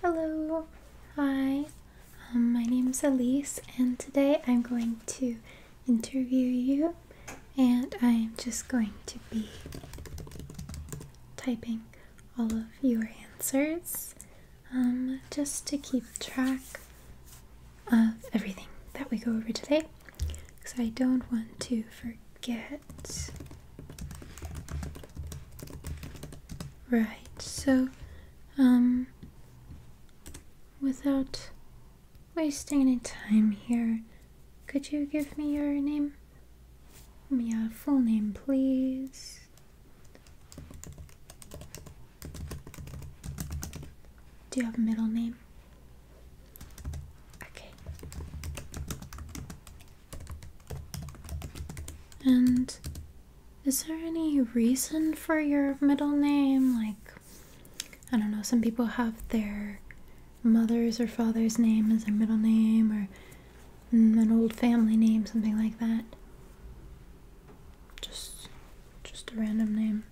Hello, hi, um, my name is Elise, and today I'm going to interview you, and I'm just going to be typing all of your answers um, just to keep track of everything that we go over today because I don't want to forget Right, so, um, without wasting any time here, could you give me your name? Yeah, uh, full name, please. Do you have a middle name? Okay. And is there any reason for your middle name? Like, I don't know, some people have their mother's or father's name as their middle name or mm, an old family name, something like that. Just just a random name.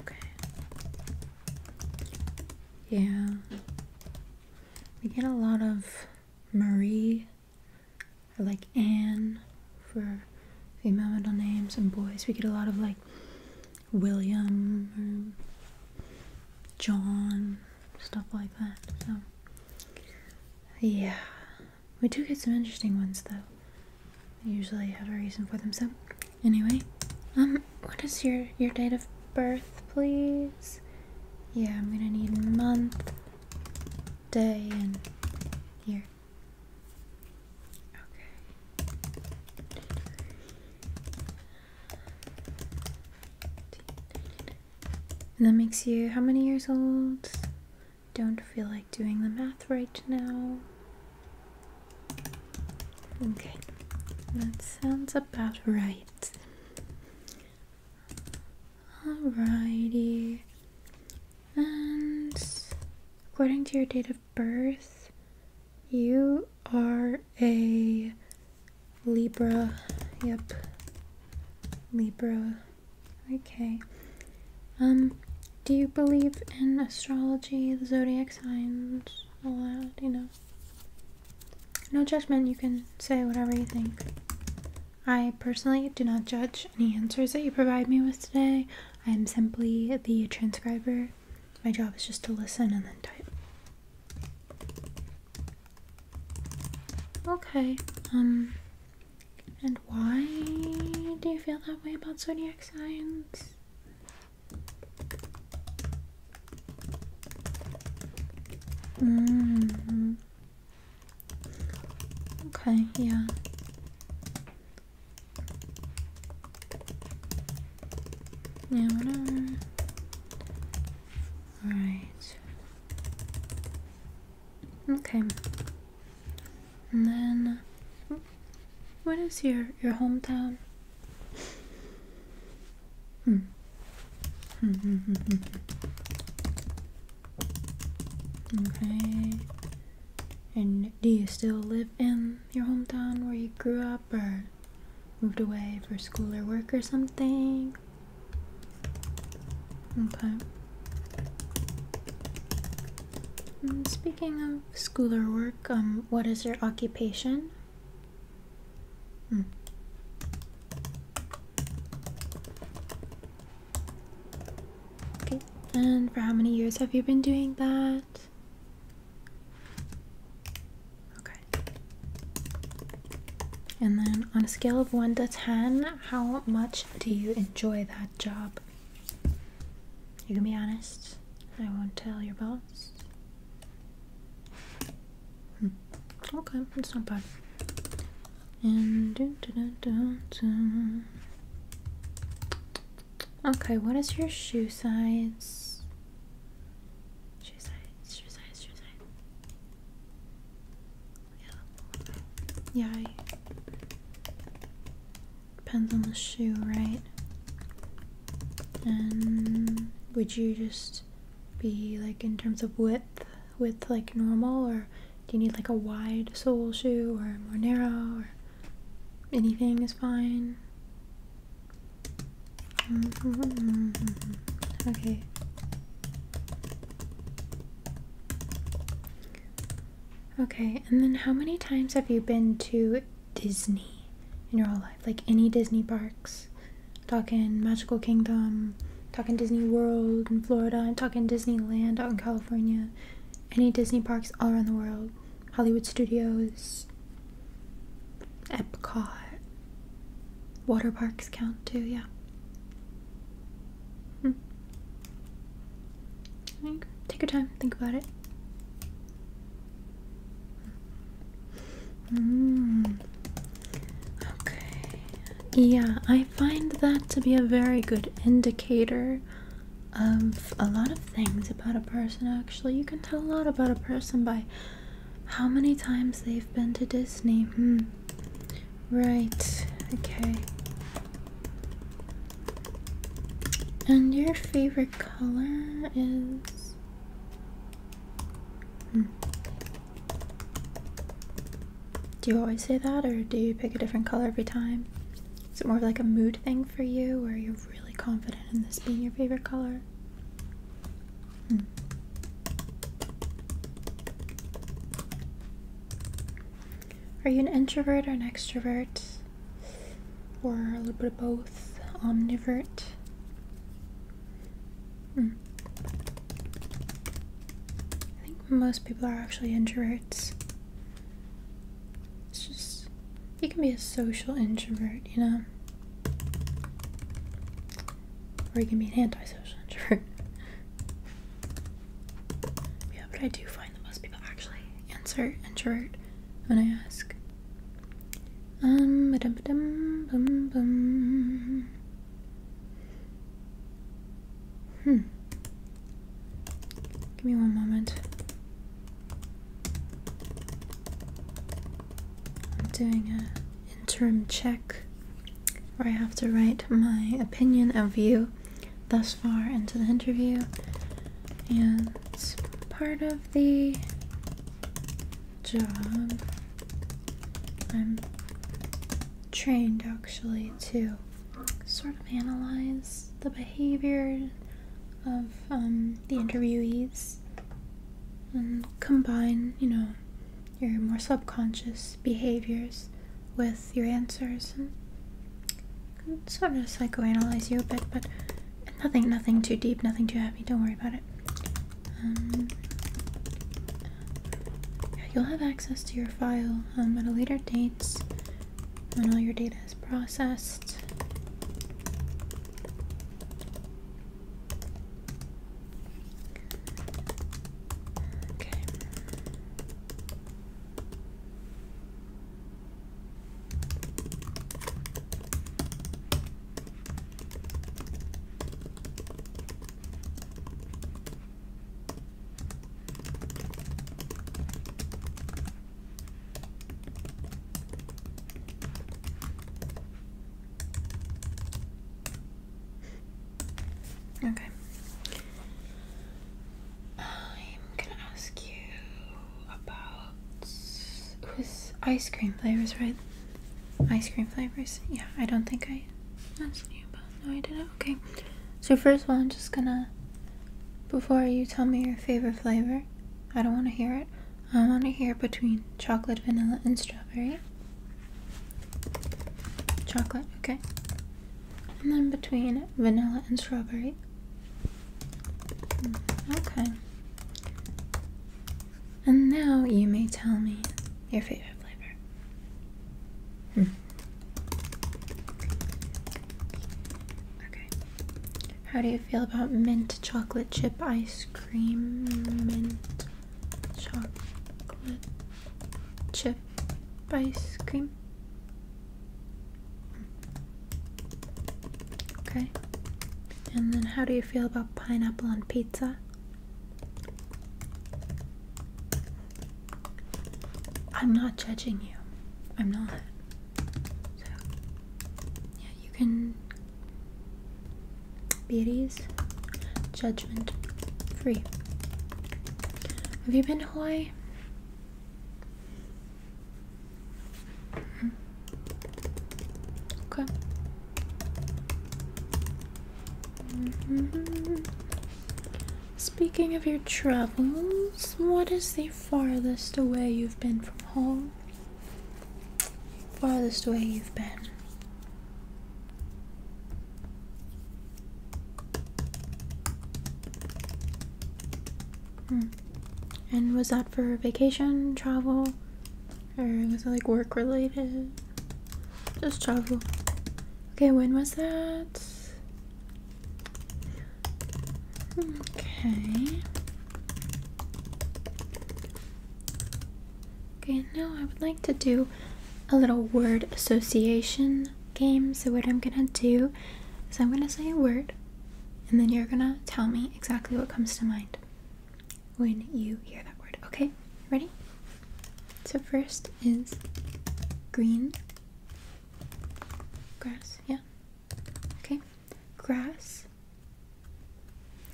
Okay. Yeah. We get a lot of Marie or like Anne for female middle names and boys. We get a lot of like William John, stuff like that. So, yeah. We do get some interesting ones though. usually have a reason for them. So, anyway, um, what is your your date of birth, please? Yeah, I'm gonna need month day and year. Okay. And that makes you how many years old? Don't feel like doing the math right now. Okay, that sounds about right. Alrighty. And according to your date of birth, you are a Libra. Yep. Libra. Okay. Um, do you believe in astrology, the zodiac signs, all that, you know? No judgment, you can say whatever you think. I personally do not judge any answers that you provide me with today. I am simply the transcriber. My job is just to listen and then type. Okay, um, and why do you feel that way about zodiac signs? -hmm. Okay, yeah. Yeah, whatever. Alright. Okay. And then what is your your hometown? Hmm. Hmm, hmm, hmm. okay. And do you still live in your hometown where you grew up or moved away for school or work or something? Okay. speaking of school or work, um, what is your occupation? Okay, and for how many years have you been doing that? Okay. And then on a scale of 1 to 10, how much do you enjoy that job? You can be honest. I won't tell your boss. Hmm. Okay, it's not bad. Okay, what is your shoe size? Shoe size, shoe size, shoe size. Yeah. Yeah. Depends on the shoe, right? And would you just be like in terms of width, width like normal, or do you need like a wide sole shoe or more narrow, or anything is fine? Mm-hmm, mm-hmm, mm-hmm. Okay. Okay, and then how many times have you been to Disney in your whole life? Like any Disney parks? talking Magical Kingdom, talking Disney World in Florida, and talking Disneyland out in California, any Disney parks all around the world, Hollywood Studios, Epcot, water parks count too, yeah. Hmm. Take your time, think about it. Mm. Okay. Yeah, I find that to be a very good indicator of a lot of things about a person, actually. You can tell a lot about a person by how many times they've been to Disney. Hmm. Right. Okay. And your favorite color is Hmm. Do you always say that, or do you pick a different color every time? Is it more of like a mood thing for you, or are you really confident in this being your favorite color? Hmm. Are you an introvert or an extrovert? Or a little bit of both? Omnivert? Hmm. I think most people are actually introverts. It's just, you can be a social introvert, you know? Or you can be an antisocial introvert. yeah, but I do find that most people actually answer introvert when I ask. Um, ba -dum -ba -dum, bum, hmm. Give me one moment. I'm doing a interim check where I have to write my opinion of you thus far into the interview. And part of the job. I'm trained actually to sort of analyze the behavior of um, the interviewees and combine, you know, your more subconscious behaviors with your answers and sort of psychoanalyze you a bit, but Nothing, nothing too deep, nothing too heavy. Don't worry about it. Um, you'll have access to your file um, at a later date when all your data is processed. Okay. Okay. I'm gonna ask you about. It was ice cream flavors, right? ice cream flavors. Yeah, I don't think I no I didn't. Okay. So first of all I'm just gonna before you tell me your favorite flavor, I don't wanna hear it. I wanna hear between chocolate, vanilla, and strawberry. Chocolate, okay. And then between vanilla and strawberry. Mm, okay. And now you may tell me your favorite flavor. Hmm. Okay. How do you feel about mint chocolate chip ice cream? Mint chocolate chip ice cream? Hmm. Okay. And then, how do you feel about pineapple on pizza? I'm not judging you. I'm not. yeah, you can be at ease. Judgment free. Have you been to Hawaii? Okay. Mm-hmm. Speaking of your travels, what is the farthest away you've been from home? Farthest away you've been. Hmm. And was that for vacation, travel, or was it like work related? Just travel. Okay, when was that? Okay. Okay, now I would like to do a little word association game. So what I'm gonna do is I'm gonna say a word and then you're gonna tell me exactly what comes to mind when you hear that word. Okay, ready? So, first is green grass, yeah. Okay, grass.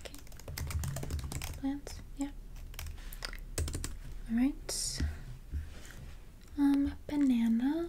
Okay, plants, yeah. Alright, um, banana,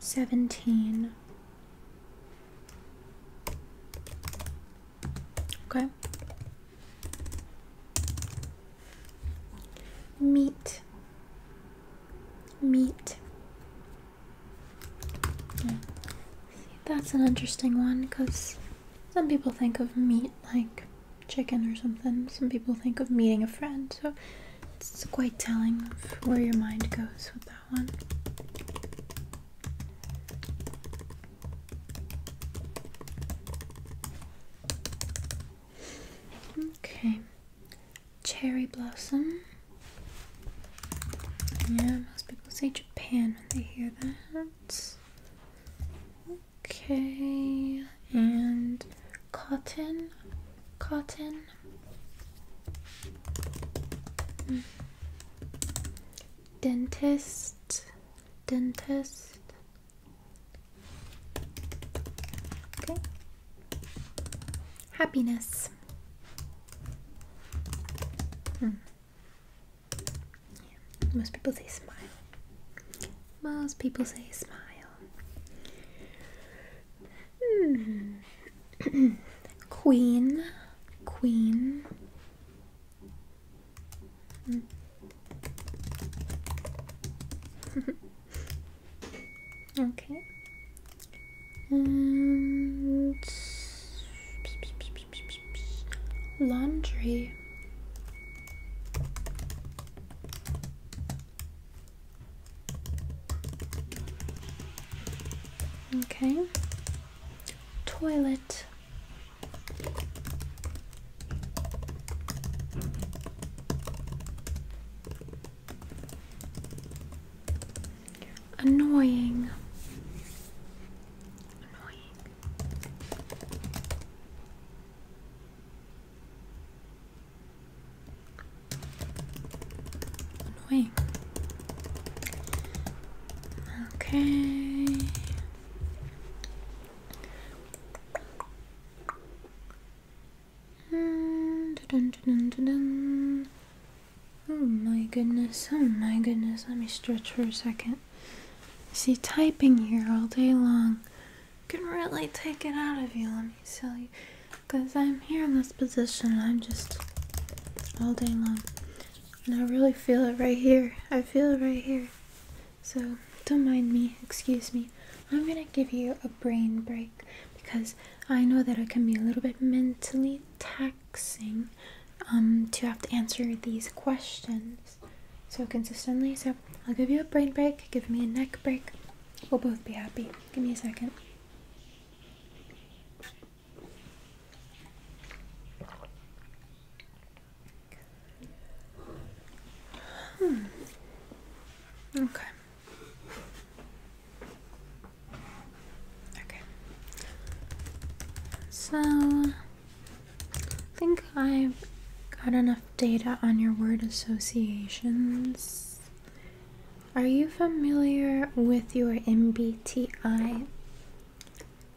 17 okay meat meat that's an interesting one because some people think of meat like chicken or something. Some people think of meeting a friend, so it's quite telling of where your mind goes with that one. Okay, cherry blossom. Yeah, most people say Japan when they hear that. Okay, and cotton, cotton. Dentist, dentist. Okay. Happiness. Hmm. Most people say smile. Most people say smile. Hmm. Queen. Queen. Hmm. okay. laundry. Okay. Toilet. Annoying. Annoying. Okay. Mm, oh my goodness, oh my goodness, let me stretch for a second it. See, typing here all day long can really take it out of you, let me tell you. Because I'm here in this position, I'm just all day long. And I really feel it right here. I feel it right here. So, don't mind me, excuse me. I'm gonna give you a brain break because I know that it can be a little bit mentally taxing um, to have to answer these questions so consistently. So I'll give you a brain break, give me a neck break. We'll both be happy. Give me a second. Hmm. Okay. Okay. So I think I've got enough data on your word associations. Are you familiar with your MBTI?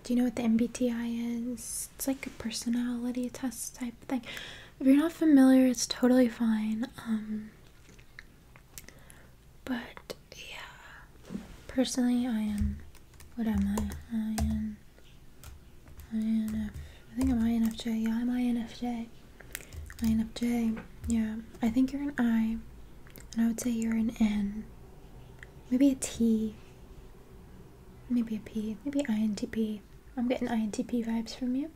Do you know what the MBTI is? It's like a personality test type thing. If you're not familiar, it's totally fine. Um, but yeah, personally, I am what am I? IN, INF. I think I'm INFJ. Yeah, I'm INFJ. INFJ. Yeah. I think you're an I. And I would say you're an N. Maybe a T. Maybe a P. Maybe INTP. I'm getting INTP vibes from you.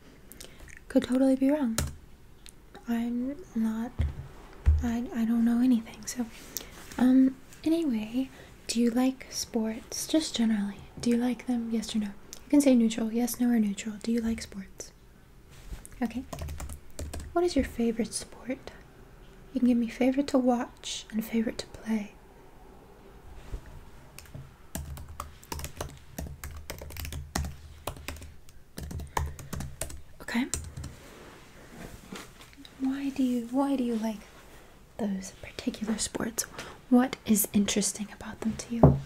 Could totally be wrong. I'm not I I don't know anything. So um anyway, do you like sports? Just generally. Do you like them? Yes or no? You can say neutral. Yes, no, or neutral. Do you like sports? Okay. What is your favorite sport? You can give me favorite to watch and favorite to play. Okay. Why do you why do you like those particular sports, what is interesting about them to you?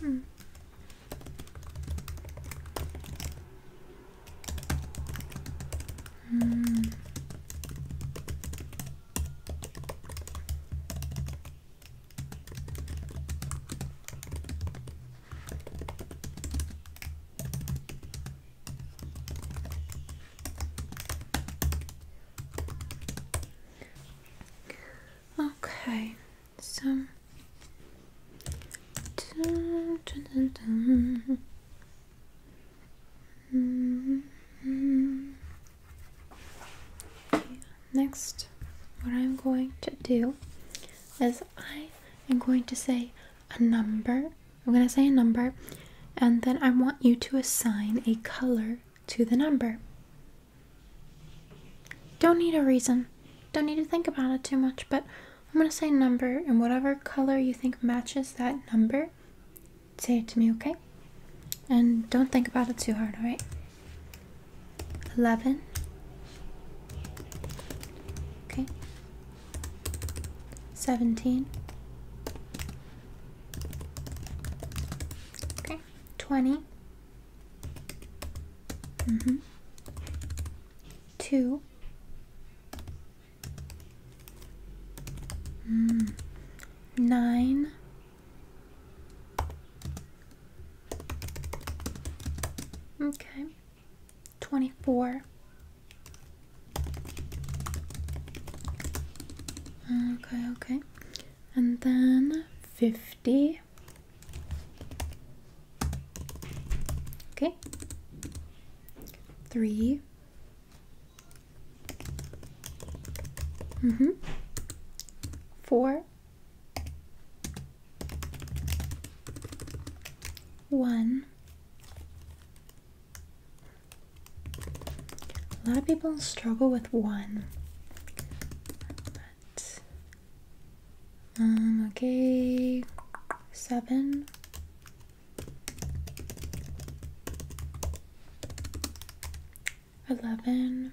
Hmm. Hmm. Okay, so next what I'm going to do is I am going to say a number I'm going to say a number, and then I want you to assign a color to the number. Don't need a reason. Don't need to think about it too much, but I'm going to say number, and whatever color you think matches that number, say it to me, okay? And don't think about it too hard, alright? 11. Okay. 17. Okay, 20. Mm hmm 2. Mm. 9. Okay. 24 okay okay and then 50 okay 3 mhm mm 4 1 a lot of people struggle with one. But, um, okay, seven, eleven.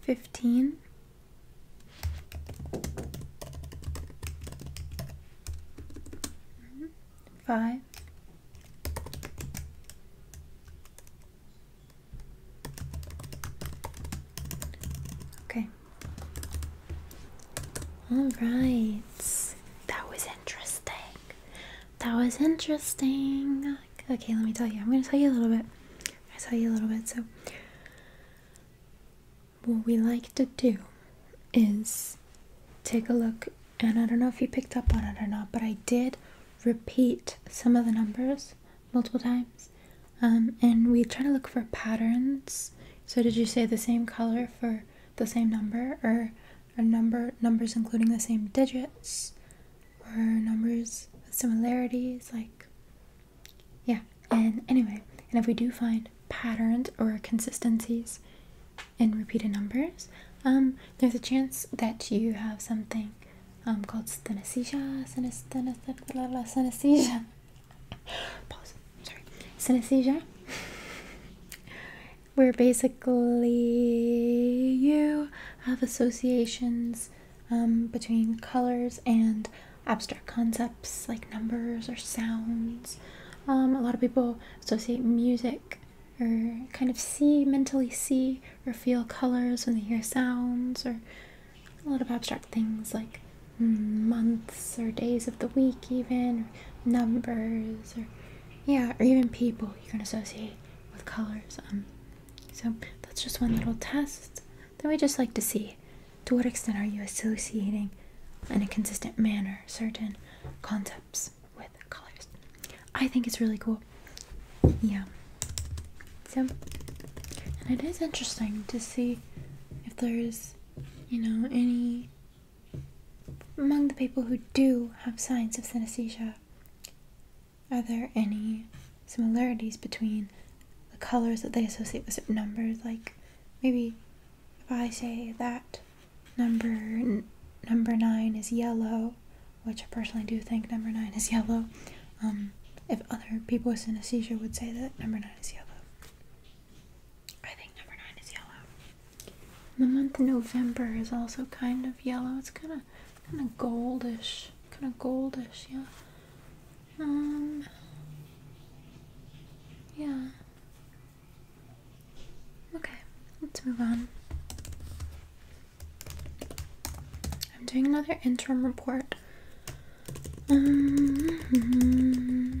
Fifteen. Five. Okay. All right. That was interesting that was interesting. Okay, let me tell you. I'm gonna tell you a little bit. I tell you a little bit. So, what we like to do is take a look, and I don't know if you picked up on it or not, but I did repeat some of the numbers multiple times, um, and we try to look for patterns. So, did you say the same color for the same number, or or number numbers including the same digits or numbers with similarities like yeah and anyway and if we do find patterns or consistencies in repeated numbers um, there's a chance that you have something um, called synesthesia synesthesia synesthesia Pause. Sorry. synesthesia where basically you have associations um, between colors and abstract concepts like numbers or sounds. Um, a lot of people associate music or kind of see, mentally see, or feel colors when they hear sounds, or a lot of abstract things like months or days of the week, even, numbers, or yeah, or even people you can associate with colors. Um, so that's just one little test Then we just like to see. To what extent are you associating in a consistent manner certain concepts with colors? I think it's really cool. Yeah. So, and it is interesting to see if there's, you know, any among the people who do have signs of synesthesia, are there any similarities between the colors that they associate with certain numbers? Like maybe if I say that number number nine is yellow, which I personally do think number nine is yellow. Um, if other people with synesthesia would say that number nine is yellow. I think number nine is yellow. The month November is also kind of yellow. It's kind of kind of goldish, kind of goldish, yeah. Um, yeah. Okay, let's move on. I'm doing another interim report. Um, mm-hmm.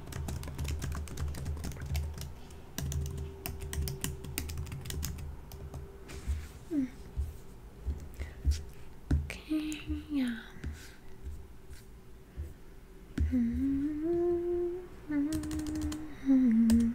Hmm. Okay, yeah. Mm um. -hmm.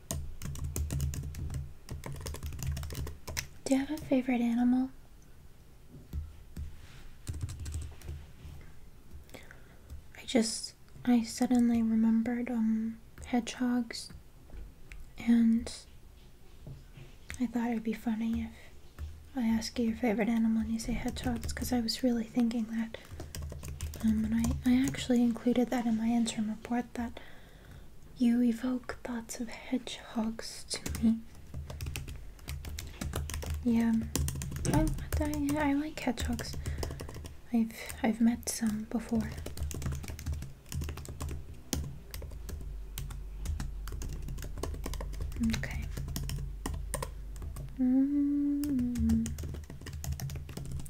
Do you have a favorite animal? I just, I suddenly remembered um, hedgehogs, and I thought it'd be funny if I asked you your favorite animal and you say hedgehogs, because I was really thinking that. Um, and I, I actually included that in my interim report that you evoke thoughts of hedgehogs to me. Yeah, I, oh, I, I like hedgehogs. I've I've met some before. Okay. Mm.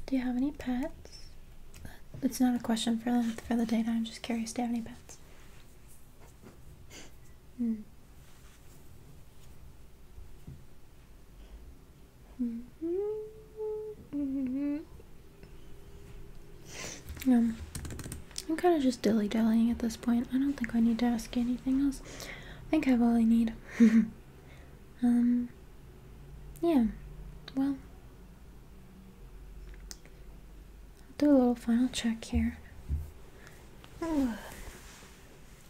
Do you have any pets? It's not a question for the, for the data. I'm just curious. Do you have any pets? Hmm. -hmm. -hmm. Um, I'm kind of just dilly dallying at this point. I don't think I need to ask anything else. I think I have all I need. um, yeah. Well, I'll do a little final check here.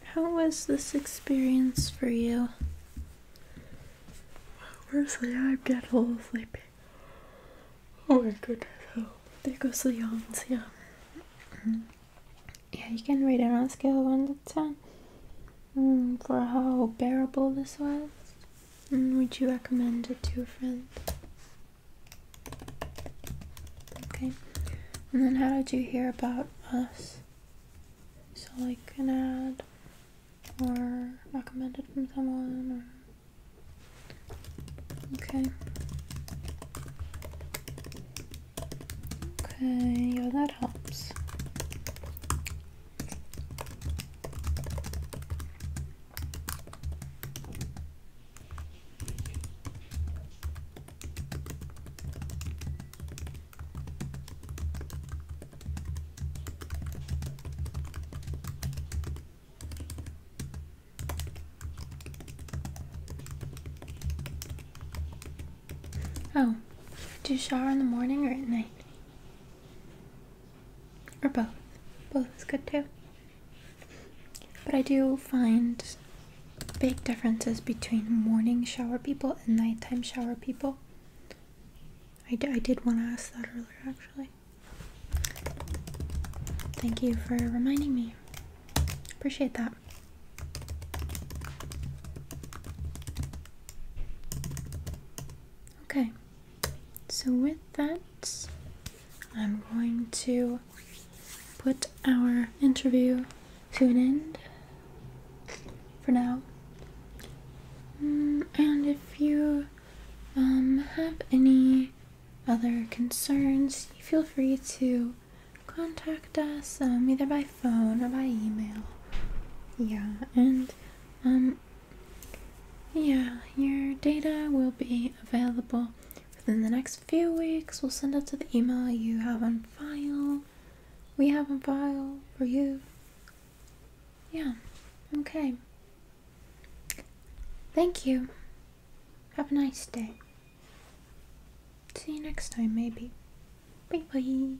How was this experience for you? Honestly, I'm dead full of sleeping. Oh my goodness. there oh. goes the yawns, yeah. Mm-hmm. yeah, you can rate it on a scale of 1 to 10 mm, for how bearable this was. Mm, would you recommend it to a friend? Okay. And then how did you hear about us? So like an ad or recommended from someone Okay. Okay, yeah that helps. Oh, do you shower in the morning or at night? Or both. Both is good too. But I do find big differences between morning shower people and nighttime shower people. I, I did want to ask that earlier actually. Thank you for reminding me. Appreciate that. Okay. So with that, I'm going to put our interview to an end for now. Mm, and if you um, have any other concerns, feel free to contact us um, either by phone or by email. Yeah, and um, yeah, your data will be available within the next few weeks. We'll send it to the email you have on file. We have a file for you. Yeah, okay. Thank you. Have a nice day. See you next time, maybe. Bye bye.